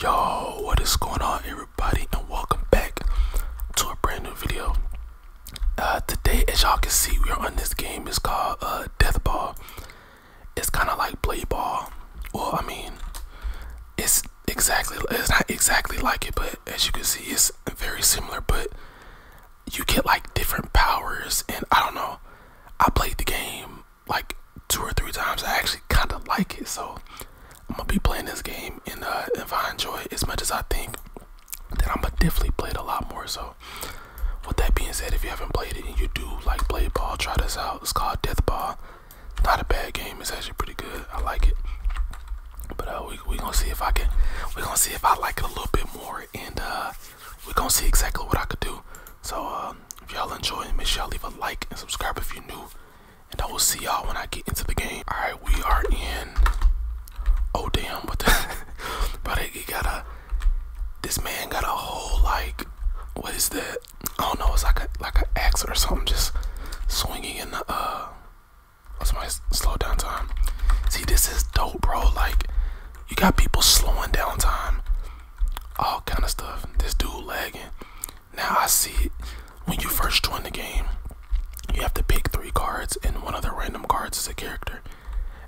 Yo, what is going on everybody and welcome back to a brand new video. Uh, today as y'all can see we are on this game, it's called uh, Death Ball. It's kind of like Play Ball. or I mean, it's exactly, it's not exactly like it, but as you can see it's very similar, but you get like different powers and I don't know, I played the game like two or three times, I actually kind of like it. So I'm gonna be playing this game, and uh, if I enjoy it as much as I think, then I'm gonna definitely play it a lot more. So with that being said, if you haven't played it and you do like play ball, try this out. It's called Death Ball. Not a bad game. It's actually pretty good. I like it. But uh, we we gonna see if I can. We gonna see if I like it a little bit more, and uh, we gonna see exactly what I could do. So uh, if y'all enjoy, make sure you leave a like and subscribe if you're new and I will see y'all when I get into the game. All right, we are in. Oh damn! What the? but he got a. This man got a whole like. What is that? I don't know. It's like a like an axe or something, just swinging in the uh. What's oh, my slow down time? See, this is dope, bro. Like, you got people slowing down time, all kind of stuff. This dude lagging. Now I see it. When you first join the game, you have to pick three cards, and one of the random cards is a character.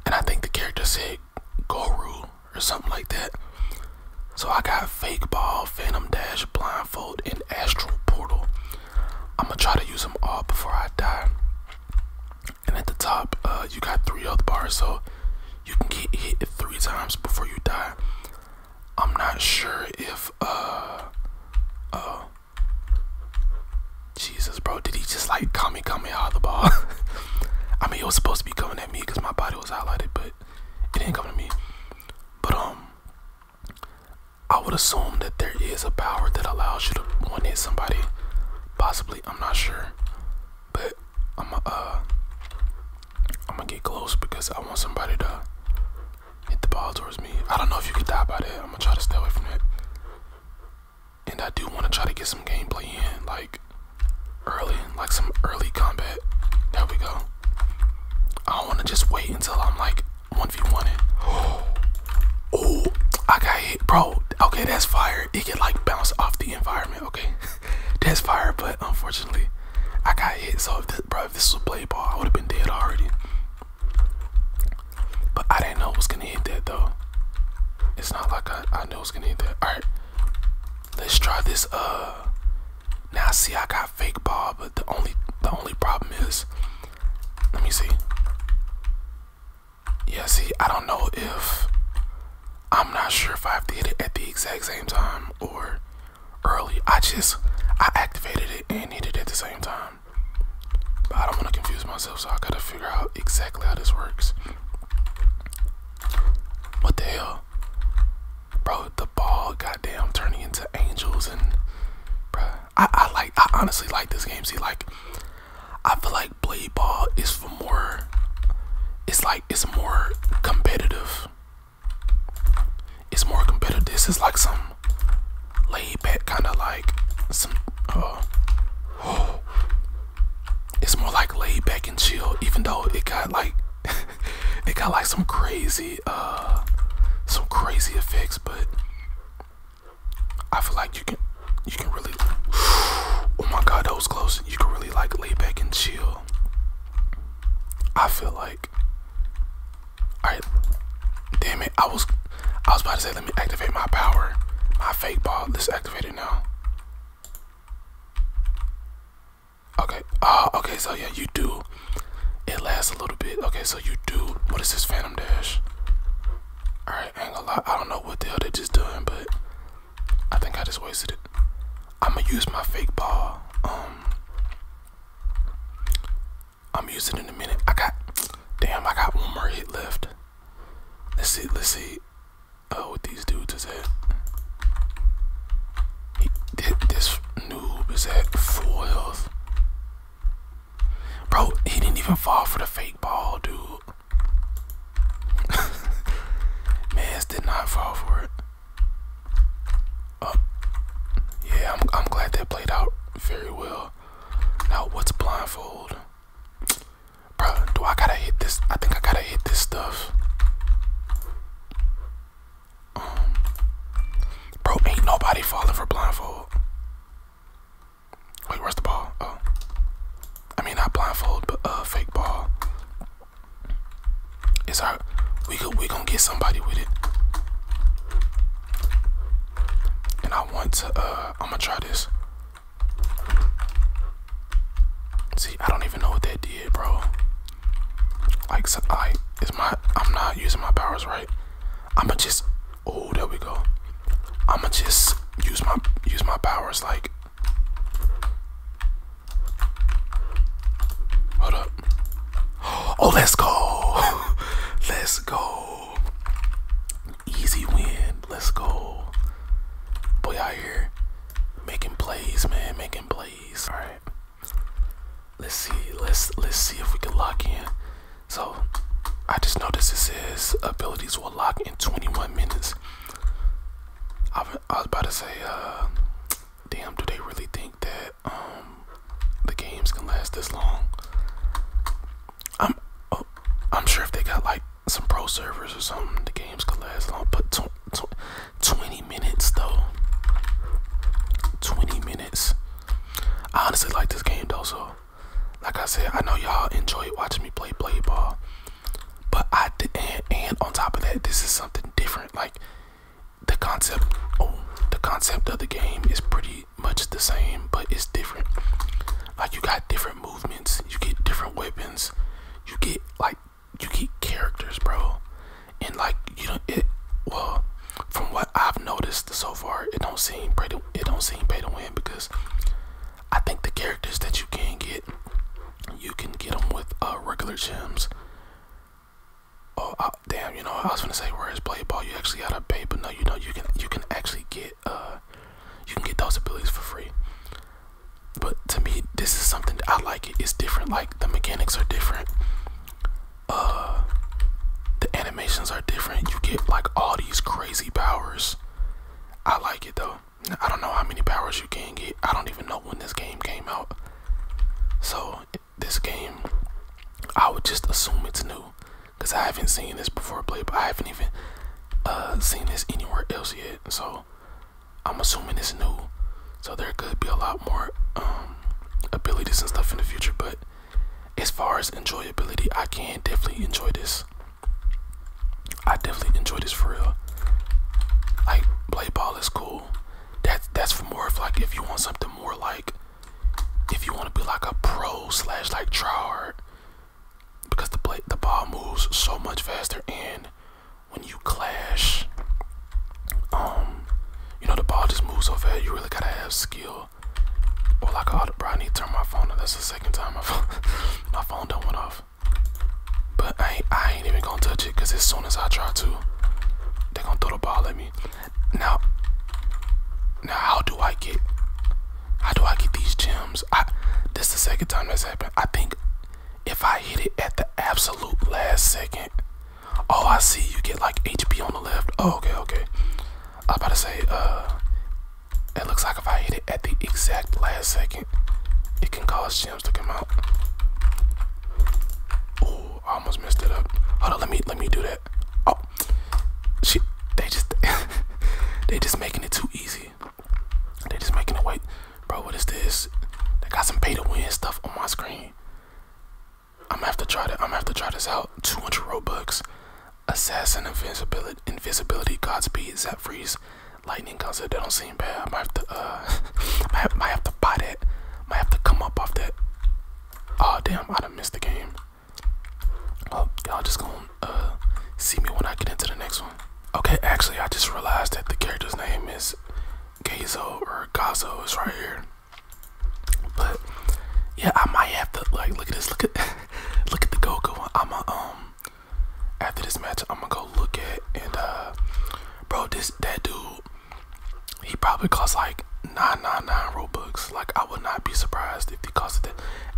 And I think the character said Goru or something like that. So I got Fake Ball, Phantom Dash, Blindfold, and Astral Portal. I'm gonna try to use them all before I die. And at the top, uh, you got three health bars, so you can get hit three times before you die. I'm not sure if uh oh Jesus bro did he just like come me come me all the ball? I mean it was supposed to be coming at me because my body was highlighted but it didn't come to me. But um I would assume that there is a power that allows you to one hit somebody. Possibly, I'm not sure. But I'm uh I'm gonna get close because I want somebody to hit the ball towards me. I don't know if you can die by that. I'm gonna try to stay away from it, And I do want to try to get some gameplay in, like early, like some early combat. There we go. I don't want to just wait until I'm like 1v1 Oh, I got hit, bro. Okay, that's fire. It can like bounce off the environment. Okay, that's fire, but unfortunately, I got hit. So, if this, bro, if this was a play ball, I would have been dead already. But I didn't know it was gonna hit that though. It's not like I, know knew gonna hit that. Alright. Let's try this uh now see I got fake ball, but the only the only problem is let me see. Yeah, see, I don't know if I'm not sure if I have to hit it at the exact same time or early. I just I activated it and hit it at the same time. But I don't want to confuse myself, so I gotta figure out exactly how this works. What the hell? Bro, the ball goddamn turning into angels and bro, I, I like I honestly like this game. See like I feel like Blade Ball is for more it's like it's more competitive it's more competitive. This is like some laid back kind of like some oh it's more like laid back and chill even though it got like it got like some crazy uh some crazy effects but I feel like you can you can really oh my god that was close you can really like lay back and chill I feel like Alright. Damn it. I was I was about to say let me activate my power. My fake ball. Let's activate it now. Okay. Uh okay, so yeah, you do. It lasts a little bit. Okay, so you do what is this Phantom Dash? Alright, ain't gonna I don't know what the hell they are just doing, but I think I just wasted it. I'ma use my fake ball. Um I'm using it in a minute. I got damn I got one more hit left. Let's see, let's see uh what these dudes is at. this noob is at full health. Bro, he didn't even fall for the fake ball, dude. Mans did not fall for it. Uh, yeah, I'm, I'm glad that played out very well. Now, what's blindfold? Bro, do I gotta hit this? I think I gotta hit this stuff. Um, bro, ain't nobody falling for blindfold. Wait, where's the ball? Oh, I mean not blindfold, but uh, fake ball. It's our we could we gonna get somebody with it. And I want to uh I'm gonna try this. See, I don't even know what that did, bro. Like so I is my I'm not using my powers right. I'ma just oh there we go. I'ma just use my use my powers like Hold up. Oh, let's go. let's go. Easy win. Let's go. Boy out here making plays, man. Making plays. All right. Let's see. Let's let's see if we can lock in. So I just noticed it says abilities will lock in 21 minutes. I, I was about to say, uh, damn, do they really think that um, the games can last this long? I'm oh, I'm sure if they got like some pro servers or something, the games could last long. But twenty minutes though, twenty minutes. I honestly like this game though, so like I said, I know y'all enjoy watching me play baseball, but I did, and, and on top of that, this is something different. Like the concept oh the concept of the game is pretty much the same but it's different like you got different movements you get different weapons you get like you get characters bro and like you know it well from what i've noticed so far it don't seem pay to, it don't seem pay to win because i think the characters that you can get you can get them with uh, regular gems Oh I, damn! You know I was gonna say where is Blade ball. You actually got a pay, but no, you know you can you can actually get uh you can get those abilities for free. But to me, this is something I like. It. It's different. Like the mechanics are different. Uh, the animations are different. You get like all these crazy powers. I like it though. I don't know how many powers you can get. I don't even know when this game came out. So this game, I would just assume it's new because I haven't seen this before play, but I haven't even uh, seen this anywhere else yet. So I'm assuming it's new. So there could be a lot more um, abilities and stuff in the future. But as far as enjoyability, I can definitely enjoy this. I definitely enjoy this for real. Like play ball is cool. That's that's for more of like if you want something more like if you want to be like a pro slash like tryhard, because the play, the ball moves so much faster, and when you clash, um, you know the ball just moves so fast. You really gotta have skill. Or like a, oh, the I need to turn my phone on. That's the second time my phone, my phone done went off. But I I ain't even gonna touch it, cause as soon as I try to, they gonna throw the ball at me. Now, now how do I get? How do I get these gems? I this is the second time this happened. I think if I hit it at the absolute last second. Oh, I see. You get like HP on the left. Oh, okay, okay. I was about to say, uh, it looks like if I hit it at the exact last second, it can cause gems to come out. I almost messed it up. Hold on, let me let me do that. Oh, shit! They just they just making it too easy. They just making it wait, bro. What is this? They got some pay to win stuff on my screen. I'm gonna have to try that. I'm gonna have to try this out. 200 Robux, Assassin Invisibility, Invisibility, Godspeed, Zap Freeze, Lightning Concert. That don't seem bad. I might have to uh, I might have to buy that. Might have to come up off that. Oh damn, I done missed the game. Oh, y'all just gonna uh, see me when I get into the next one. Okay, actually, I just realized that the character's name is Gazo or Gazo is right here. But yeah, I might have to like look at this. Look at look at the Goku I'ma um after this match, I'm gonna go look at and uh, bro, this that dude he probably cost like nine nine nine Robux. Like I would not be surprised if he costed it.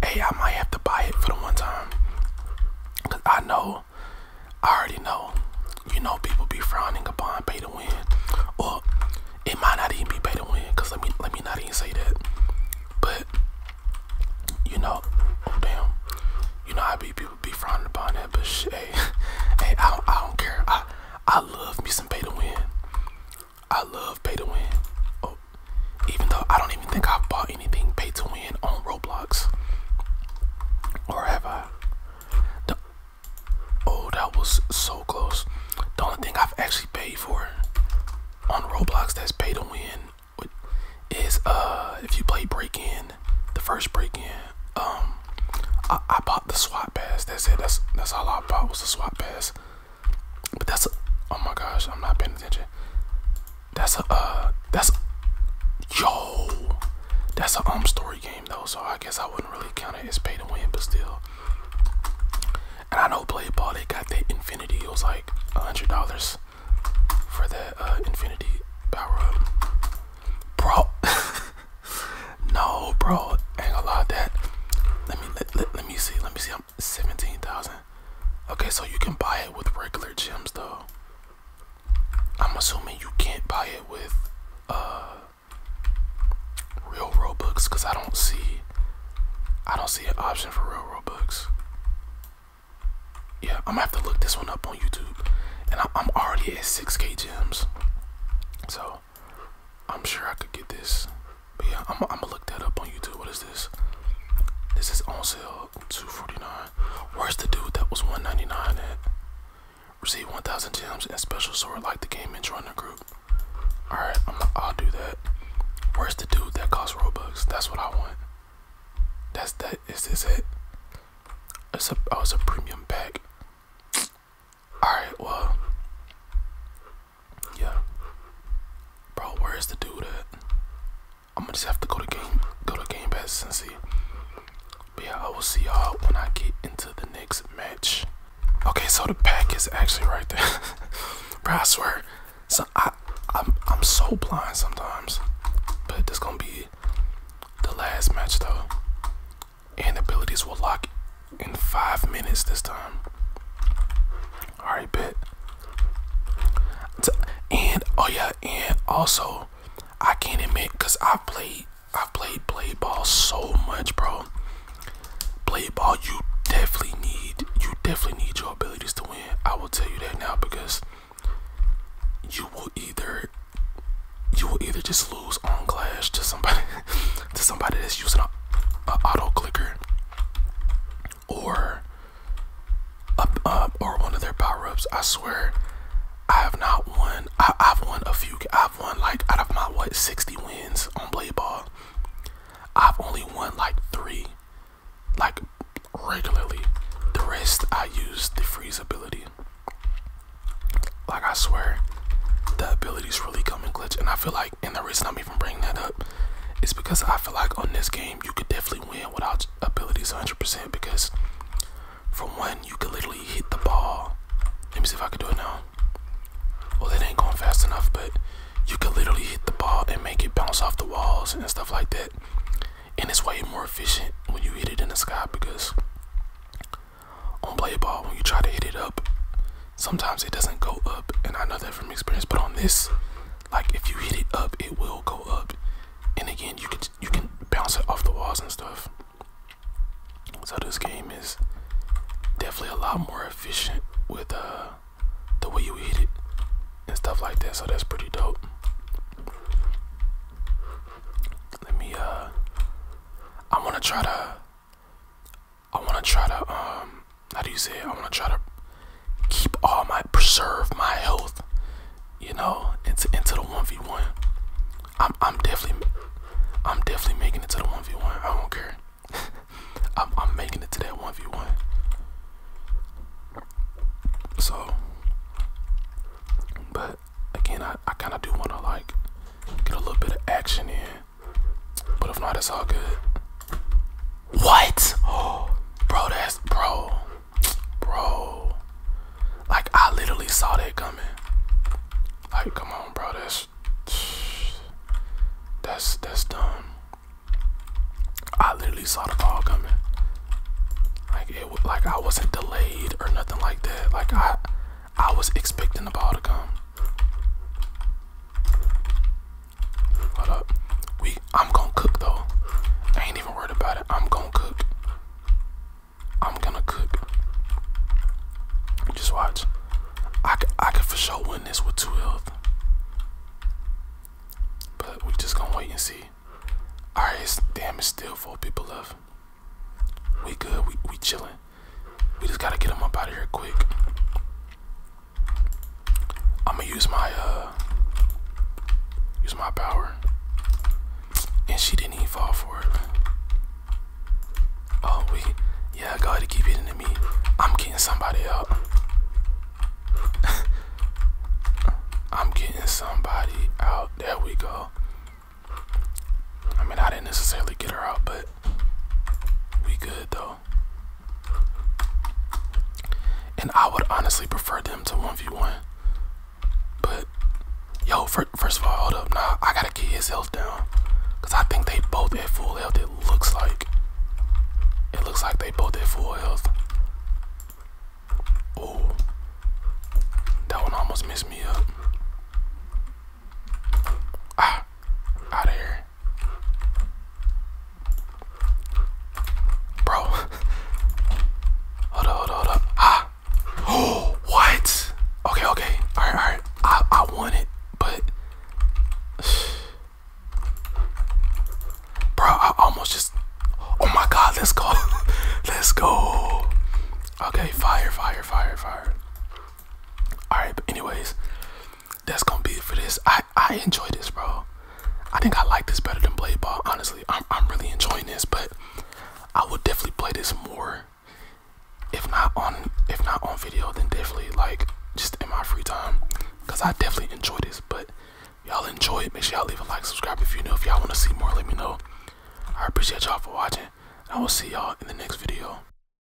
Hey, I might have to buy it for the one time. Cause I know, I already know. You know, people be frowning upon pay to win, or it might not even be pay to win. Cause let me let me not even say that. But you know, oh damn, you know I be people be frowning upon it. But shit, hey, hey, I don't I don't care. I love me some pay to win. I love pay to win. Oh, even though I don't even think I've bought anything pay to win on Roblox. Or have I? The, oh, that was so close. The only thing I've actually paid for on Roblox that's pay to win is uh if you play break in, the first break in, um I, bought the swap pass. That's it. That's that's all I bought was the swap pass. But that's a, oh my gosh, I'm not paying attention. That's a uh that's yo that's a um story game though, so I guess I wouldn't really count it as pay to win, but still. And I know Blade Ball they got that infinity, it was like a hundred dollars for that uh infinity power up. Bro no, bro. Ain't gonna lie that. Let me let, let, me see. Let me see. I'm seventeen thousand. Okay, so you can buy it with regular gems though. I'm assuming you can't buy it with uh real books, because I don't see I don't see an option for real books. Yeah, I'm gonna have to look this one up on YouTube, and I, I'm already at 6k gems. So I'm sure I could get this. But yeah, I'm, gonna look that up on YouTube. What is this? This is on sale, 249. Where's the dude that was 199 at? Receive 1,000 gems and special sword like the game and join the group. Alright, I'll do that. Where's the dude that costs Robux? That's what I want. That's that. Is this it? It's a, oh, it's a premium pack. Alright, well. Yeah. Bro, where is the dude at? I'm gonna just have to go to game go to Game Pass and see. But yeah, I will see y'all when I get into the next match. Okay, so the pack is actually right there. Bro, I swear. So I I'm I'm so blind sometimes. But this gonna be the last match though and abilities will lock in five minutes this time. Alright, bet. And oh yeah, and also I can't admit because I played I've played play ball so much, bro. Play ball, you definitely need you definitely need your abilities to win. I will tell you that now because you will either you will either just lose lose on Clash to somebody to somebody that's using a, auto clicker or up up or one of their power ups. I swear, I have not won. I, have won a few. I've won like out of my what sixty wins on blade ball. I've only won like three, like regularly. The rest I use the freeze ability. Like I swear, the ability's really coming glitch, and I feel like and the reason I'm even bringing that up is because I feel like on this game you could definitely win without abilities 100% because from one you could literally hit the ball. Let me see if I can do it now. Well, it ain't going fast enough, but you could literally hit the ball and make it bounce off the walls and stuff like that. And it's way more efficient when you hit it in the sky because on play ball when you try to hit it up sometimes it doesn't go up and i know that from experience but on this like if you hit it up it will go up and again you can you can bounce it off the walls and stuff so this game is definitely a lot more efficient with uh, the way you hit it and stuff like that so that's pretty dope let me uh i want to try to I want to try to um, how do you say I want to try to keep all my preserve my health, you know, into into the one v one. I'm I'm definitely I'm definitely making it to the one v one. I don't care. I'm I'm making it to that one v one. So, but again, I I kind of do want to like get a little bit of action in but if not, it's all good. What? Oh, bro, that's bro, bro. Like I literally saw that coming. Like, come on, bro. That's that's that's dumb. I literally saw the ball coming. Like it was like I wasn't delayed or nothing like that. Like I I was expecting the ball to come. Hold up. We I'm gonna cook though. I ain't even worried about it. I'm gonna cook. I'm gonna cook. Just watch. I, I could for sure win this with two health. But we just gonna wait and see. Alright, it's damn it's still four people left. We good, we we chilling. We just gotta get him up out of here quick. I'm gonna use my uh, use my power, and she didn't even fall for it. Oh we, yeah, go ahead and keep hitting at me. I'm getting somebody out. I'm getting somebody out. There we go. I mean, I didn't necessarily get her out, but we good though. And I would honestly prefer them to 1v1. But yo, first of all, hold up. Nah, I gotta keep his health down. Cause I think they both at full health, it looks like. It looks like they both at full health. Oh. That one almost messed me up. Ah, out of here. Bro. hold up, hold up, hold up. Ah. Oh, what? Okay, okay. Alright, alright. I, I want it, but. Bro, I almost just. Oh my god, let's go. let's go. Okay, fire, fire, fire, fire. Alright, but anyways, that's gonna be it for this. I I enjoy this, bro. I think I like this better than Blade Ball. Honestly, I'm I'm really enjoying this, but I would definitely play this more. If not on if not on video, then definitely like just in my free time, cause I definitely enjoy this. But y'all enjoy it. Make sure y'all leave a like, subscribe if you know. If y'all wanna see more, let me know. I appreciate y'all for watching. I will see y'all in the next video.